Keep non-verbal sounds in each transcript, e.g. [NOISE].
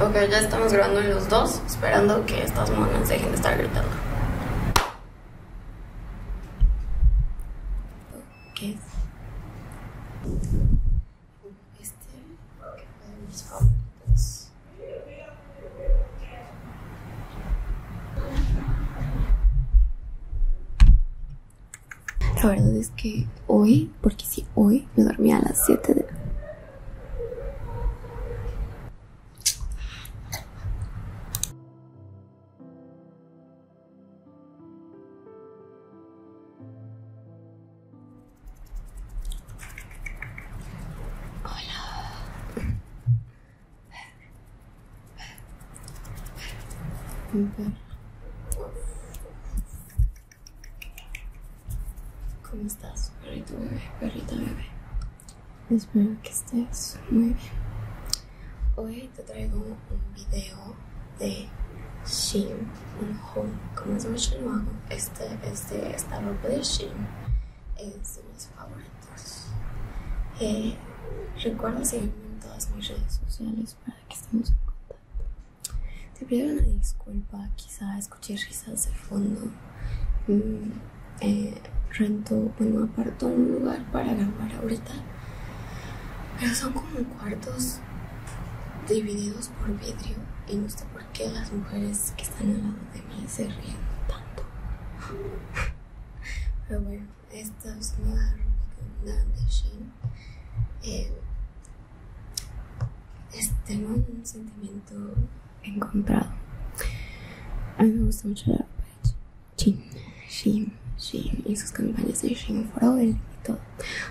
Okay, ya estamos grabando los dos, esperando que estas monas dejen de estar gritando. La verdad es que hoy, porque si hoy me dormí a las 7 de Hola. ¿Cómo estás, perrito bebé, perrita bebé? Espero que estés muy bien. Hoy te traigo un video de Shin un home. Como es mucho nuevo, este es de esta ropa de Shim, Es favoritos. Eh, seguirme en todas mis redes sociales para que estemos en contacto. Te pido una disculpa, quizá escuché risas de fondo. rento mm, eh, rento, bueno, aparto un lugar para grabar ahorita, pero son como cuartos divididos por vidrio y no sé por qué las mujeres que están al lado de mí se ríen tanto. [LAUGHS] Pero bueno. Esta es una andan de Shin no eh, es, tengo un sentimiento encontrado. A mí me gusta mucho la ropa de Shin, Shin, Shin, y sus campañas de Shin for All y todo.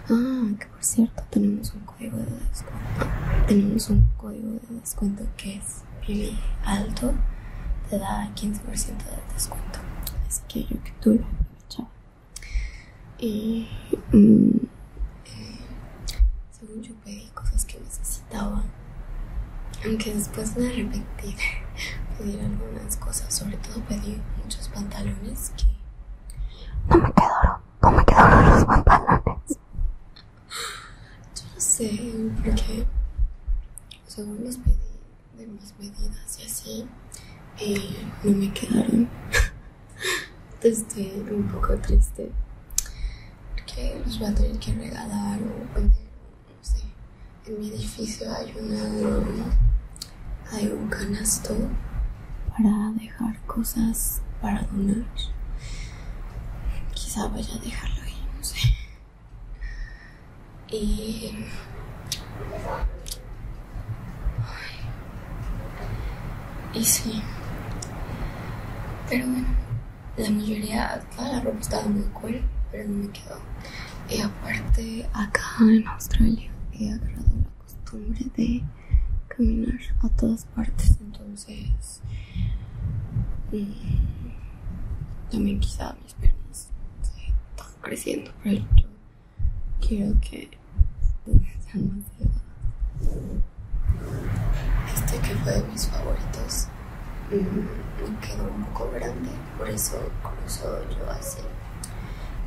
Ah, que por cierto, tenemos un código de descuento. Tenemos un código de descuento que es Alto, te da 15% de descuento. Así que yo que tú lo Y mm, eh, según yo pedí cosas que necesitaba, aunque después me arrepentí de [LAUGHS] pedir algunas cosas, sobre todo pedí muchos pantalones que no me quedaron, no me quedaron los pantalones. Yo no sé, por qué según pedí de mis medidas y así, eh, no me quedaron. [LAUGHS] Estoy un poco triste porque los voy a tener que regalar o vender, no sé. En mi edificio hay una. hay un canasto para dejar cosas para donar. Quizá vaya a dejarlo ahí, no sé. Y... sí. Pero bueno, la mayoría, toda la ropa estaba muy cool, pero no me quedó. Y aparte, acá en Australia he agarrado la costumbre de caminar a todas partes, entonces mm, también quizá mis piernas se están creciendo, pero yo quiero que sean más edad. Este que fue de mis favoritos mm, me quedó un poco grande, por eso cruzo yo así.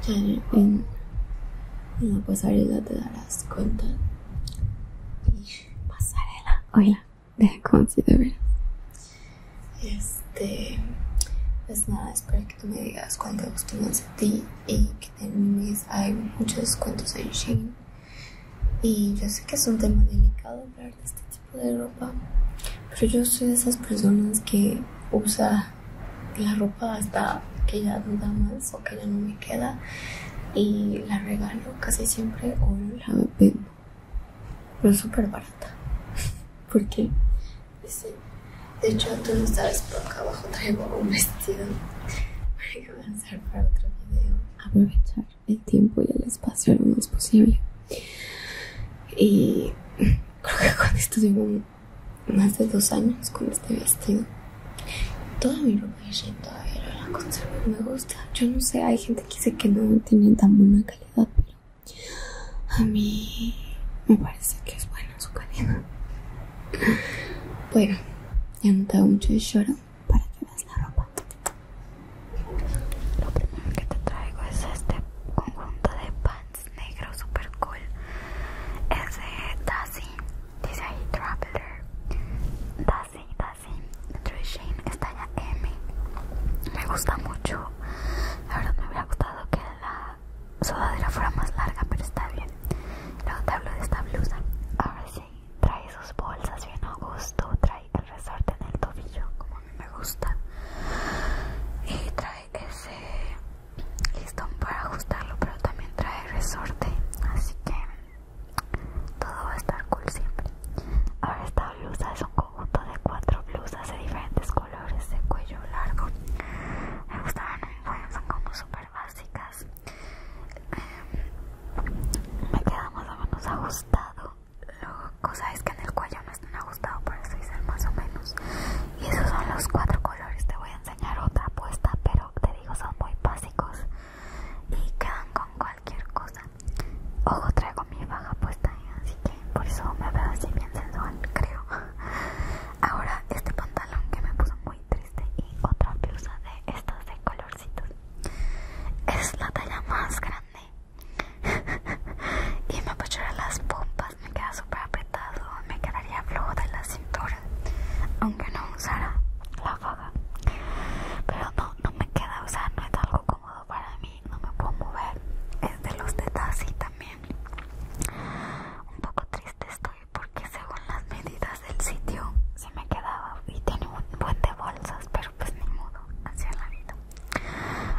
Ya en, la pasarela te darás cuenta. Y pasarela, Oila de [LAUGHS] consigo, Este. Pues nada, espero que tú me digas cuánto te ti y que termines. Hay muchos descuentos en Shein. Y yo sé que es un tema delicado hablar de este tipo de ropa, pero yo soy de esas personas que usa la ropa hasta que ya no da más o que ya no me queda y la regalo casi siempre o la ah, no es súper barata. [LAUGHS] porque De hecho, tú no sabes, por acá abajo traigo un vestido. para que para otro video. Aprovechar el tiempo y el espacio lo más posible. Y creo que con esto llevo más de dos años con este vestido. todo mi la me gusta. Yo no sé, hay gente que dice que no tienen tan buena calidad, pero a mí me parece que es buena su calidad. Bueno, ya no te hago mucho de lloro para que veas la ropa. Lo primero que te traigo es este conjunto de pants negro super cool. Es de Dazzy, dice ahí Traveler. Dazzy, Sí, Shane está M me gusta mucho la verdad me hubiera gustado que la sudadera fuera más larga pero está bien luego te hablo de esta blusa ahora sí trae sus bolsas bien a gusto trae el resorte en el tobillo como a mí me gusta y trae ese listón para ajustarlo pero también trae resorte así que todo va a estar cool siempre ahora esta blusa es un conjunto de cuatro blusas de diferentes colores de cuello largo me gustaban muy buenas, son como super básicas em, me queda más o menos ajustado lo cosa es que en el cuello no están ajustados por eso hice más o menos y esos son los cuatro colores te voy a enseñar otra apuesta, pero te digo son muy básicos y quedan con cualquier cosa. Ojo, traigo mi baja puesta, así que por eso me veo así bien sensual, creo. Ahora este pantalón que me puso muy triste y otra blusa de estas de colorcitos. Es la talla más grande [LAUGHS] y me apachurra las pompas, me queda súper apretado, me quedaría flojo de la cintura aunque no usara la faja pero no, me queda usar, no es algo cómodo para mí, no me puedo mover es de los de y también un poco triste estoy porque según las medidas del sitio se me quedaba y tiene un buen de bolsas pero pues ni modo, hacia la vida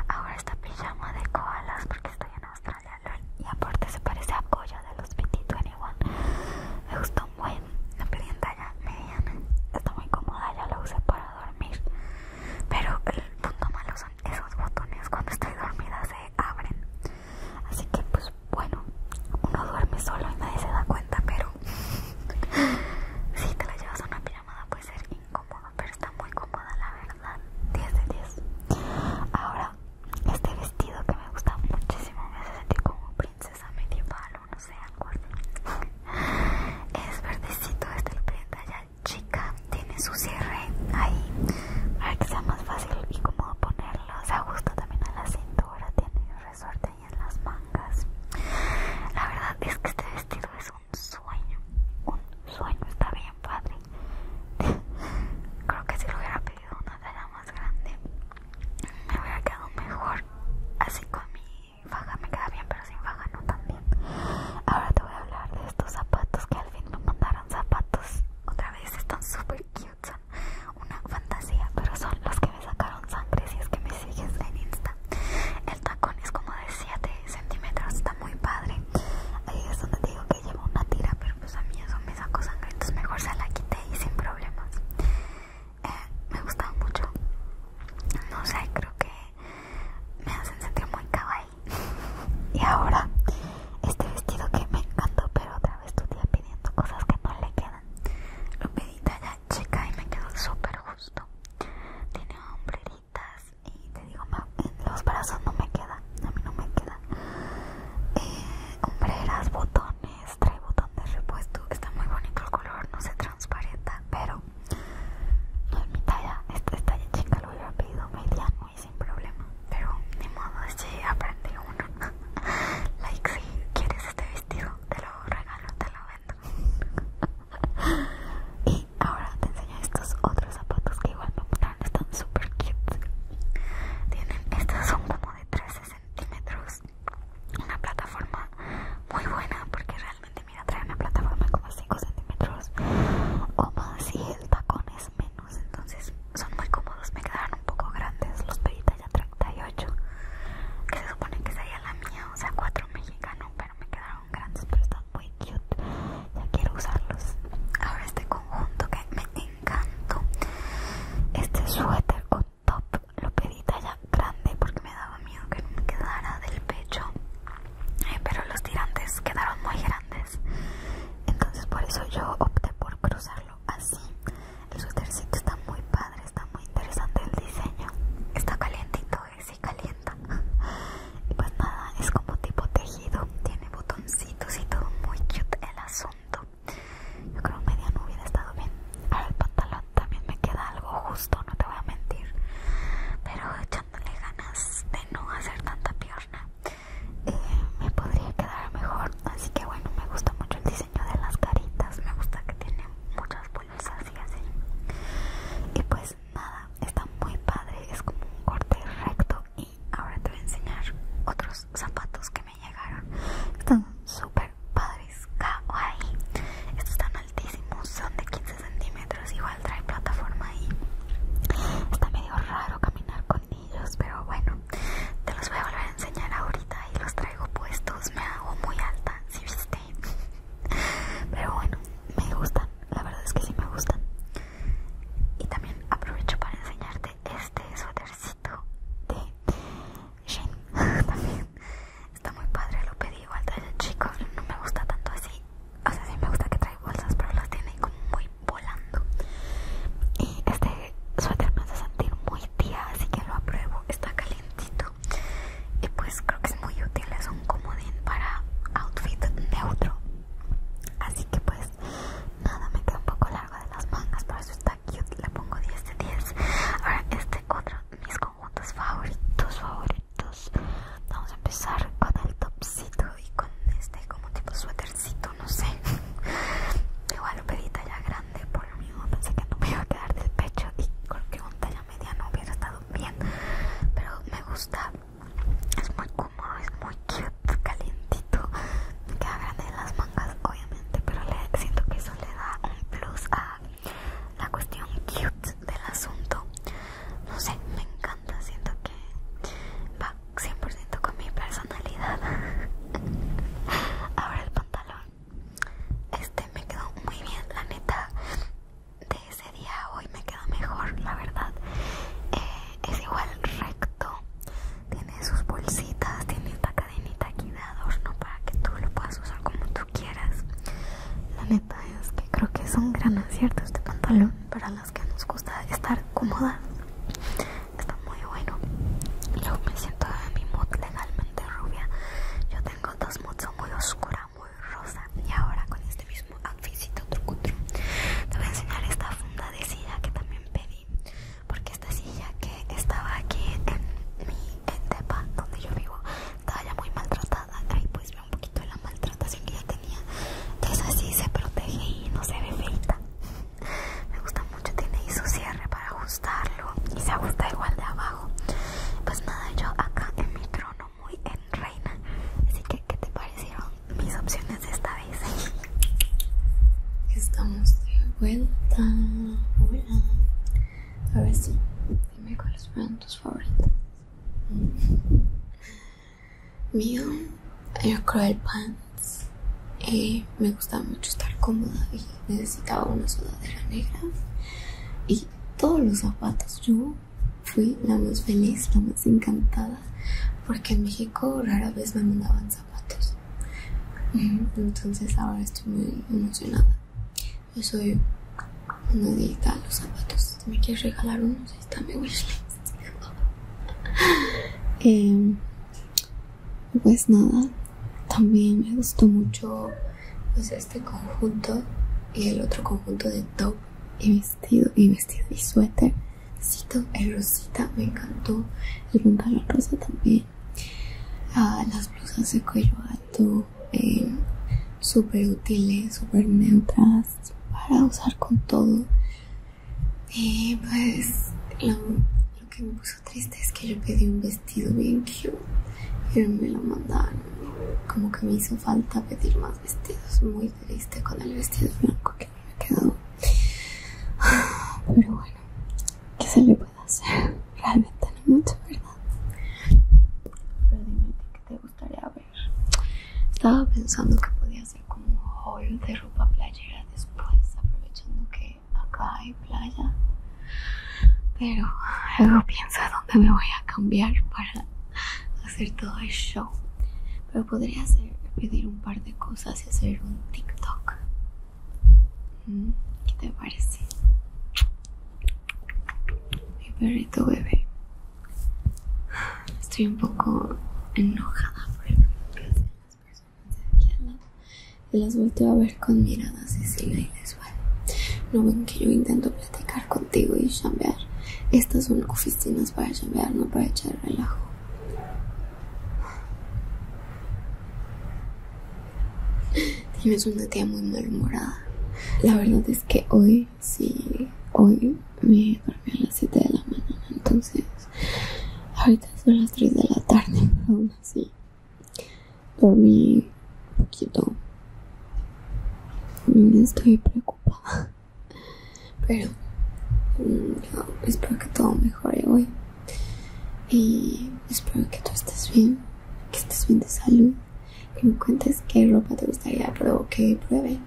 ahora esta pijama de koalas porque estoy en Australia y aparte se parece a Goya de los 22 21 me gustó la la pendiente ya mediana, está muy cómoda, ya la usé para dormir. Pero el punto malo son esos botones, cuando estoy dormida se abren. Así que pues bueno, uno duerme solo y nadie se da cuenta, pero [LAUGHS] si te la llevas a una pijamada puede ser incómodo, pero está muy cómoda la verdad. 10 de 10. Ahora, este vestido que me gusta muchísimo me hace sentir como princesa medieval o no sé, algo Es verdecito esta prenda chica, tiene su cierre ahí para que sea más fácil y cómodo ponerlo. Se ajusta también a la cintura, tiene resorte ahí en las mangas. La verdad es que este vestido es un sueño, un sueño, está bien padre. [LAUGHS] Creo que si lo hubiera pedido una talla más grande me hubiera quedado mejor así con mi faja me queda bien pero sin faja no tan bien ahora te voy a hablar de estos zapatos que al fin me mandaron zapatos otra vez están súper cute son una fantasía pero son los que me sacaron sangre si es que me sigues en insta el tacón es como de 7 centímetros está muy padre ahí es donde digo que llevo una tira pero pues a mí eso me saco cosa entonces mejor se la quité y sin problemas. Eh, me gustaba mucho. No sé, creo que me hacen sentir muy kawaii. [LAUGHS] y ahora, este vestido que me encantó, pero otra vez tu tía pidiendo cosas que no le quedan. Lo pedí talla chica y me quedó súper justo. Tiene hombreritas y te digo, los brazos no me quedan a mí no me queda. sombreras eh, botones, trae botones de repuesto, está muy bonito el color, no se transparenta, pero no es mi talla, esta, talla chica lo hubiera pedido mediano y sin problema, pero ni modo, si aprendí uno. [LAUGHS] like si quieres este vestido, te lo regalo, te lo vendo. [LAUGHS] y ahora te enseño estos otros zapatos que igual me están súper cute tienen estas son como de 13 centímetros una plataforma muy buena porque realmente mira trae una plataforma como 5 centímetros o más y el tacón es menos entonces son muy cómodos me quedaron un poco grandes los pedí ya 38 que se supone que sería la mía o sea 4 mexicanos pero me quedaron grandes pero están muy cute ya quiero usarlos ahora este conjunto que me encanto. Este suéter o top lo pedí talla grande porque me daba miedo que me quedara del pecho. Eh, pero los tirantes quedaron muy grandes. Entonces por eso yo opté por cruzarlo así. El suétercito está muy padre, está muy interesante el diseño. Está calientito, eh, [LAUGHS] y si calienta. pues nada, es como tipo tejido tiene botoncitos y todo muy cute el asunto. Yo creo que no hubiera estado bien. Ahora el pantalón también me queda algo justo, no te voy a mentir. Pero echándole ganas de no hacer tanta pierna, eh, me podría quedar mejor. Así que bueno, me gusta mucho el diseño de las caritas, me gusta que tiene muchas bolsas y así. Y pues nada, está muy padre, es como un corte recto ahora te voy a enseñar otros zapatos que me llegaron. Están súper padres, guay. Estos están altísimos, son de 15 centímetros. Igual trae plataforma ahí. Está medio raro caminar con ellos, pero bueno, te los voy a volver a enseñar ahorita y los traigo puestos. Me hago muy alta, si viste. [LAUGHS] Pero bueno, me gustan, la verdad es que sí me gustan. Y también aprovecho para enseñarte este suétercito de Jane [LAUGHS] también está muy padre, lo pedí igual de chico, no me gusta tanto así. O sea, sí me gusta que trae bolsas, pero las tiene como muy volando. Y este suéter me hace sentir muy tía, así que lo apruebo. Está calientito. Y pues creo que es muy útil, es un comodín para outfit neutro. Así que pues Nada, me queda un poco largo de las mangas, por eso está cute. Le pongo 10 de 10. Ahora, este otro, mis conjuntos favoritos, favoritos. Vamos a empezar con el topsito y con este como tipo suétercito, no sé. [LAUGHS] Igual lo pedí talla grande, por mí mismo pensé que no me iba a quedar del pecho y con que un talla media no hubiera estado bien. Pero me gusta es muy cómodo, es muy cute, calientito, me queda grande en las mangas obviamente, pero siento que eso le da un plus a la cuestión cute del asunto, no sé, me encanta, siento que va 100% con mi personalidad. [LAUGHS] Ahora el pantalón, este me quedó muy bien, la neta ese día hoy me queda mejor, la verdad. Eh, es igual recto, tiene sus bolsitas, tiene esta cadenita aquí de adorno para que tú lo puedas usar como tú quieras. La neta es que creo que es un gran acierto este pantalón para las que nos gusta estar cómodas. Está muy bueno. Yo me siento en mi mood legalmente rubia. Yo tengo dos moods, muy oscura, muy rosa y ahora con este mismo otro trucutru te voy a enseñar esta funda de silla que también pedí porque esta silla que estaba aquí en mi en donde yo vivo estaba ya muy maltratada ahí pues veo un poquito de la maltratación que ya tenía esa así se protege y no se ve feita me gusta mucho tiene ahí su cierre para ajustarlo y se ajusta igual de abajo pues nada yo acá en mi trono muy en reina. Así que, ¿qué te parecieron mis opciones esta vez? Estamos de vuelta. Hola. a ver si dime cuáles fueron tus favoritas. Mm. Mío, yo creo pants. Eh, me gustaba mucho estar cómoda y necesitaba una sudadera negra. Y todos los zapatos, yo fui la más feliz, la más encantada, porque en México rara vez me mandaban zapatos. Entonces ahora estoy muy emocionada. Yo soy una digita a los zapatos. me quieres regalar unos, y está [LAUGHS] em, pues nada, también me gustó mucho pues, este conjunto y el otro conjunto de top y mis vestido y vestido y suéter. El rosita me encantó. El pantalón rosa también. Ah, las blusas de cuello alto. super eh, súper útiles, super neutras. Para usar con todo. Y eh, pues lo, que me puso triste es que yo pedí un vestido bien cute. Pero me lo mandaron como que me hizo falta pedir más vestidos muy triste con el vestido blanco que me me quedó pero bueno que se le puede hacer realmente no mucho verdad pero dime que te gustaría ver estaba pensando que podía hacer como un haul de ropa playera después aprovechando que acá hay playa pero luego pienso dónde me voy a cambiar para hacer todo el show. Pero podría hacer, pedir un par de cosas y hacer un TikTok. Mm, ¿Qué te parece? Mi perrito bebé. Estoy un poco enojada por el que hacen las personas de aquí al lado. Las volteo a ver con miradas y no ven que yo intento platicar contigo y chambear. Estas son oficinas para chambear, no para echar relajo. Tienes una tía muy malhumorada. La verdad es que hoy, sí, hoy me dormí a las 7 de la mañana, entonces ahorita son las 3 de la tarde, pero [LAUGHS] aún así dormí poquito. Mm, estoy preocupada. Pero mm, espero que todo mejore hoy. Y espero que tú estés bien, que estés bien de salud. Que me cuentes qué ropa te gustaría pero que pruebe.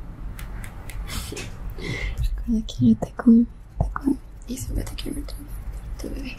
[LAUGHS] Recuerda que yo te como, te y siempre te quiero tu, tu bebé.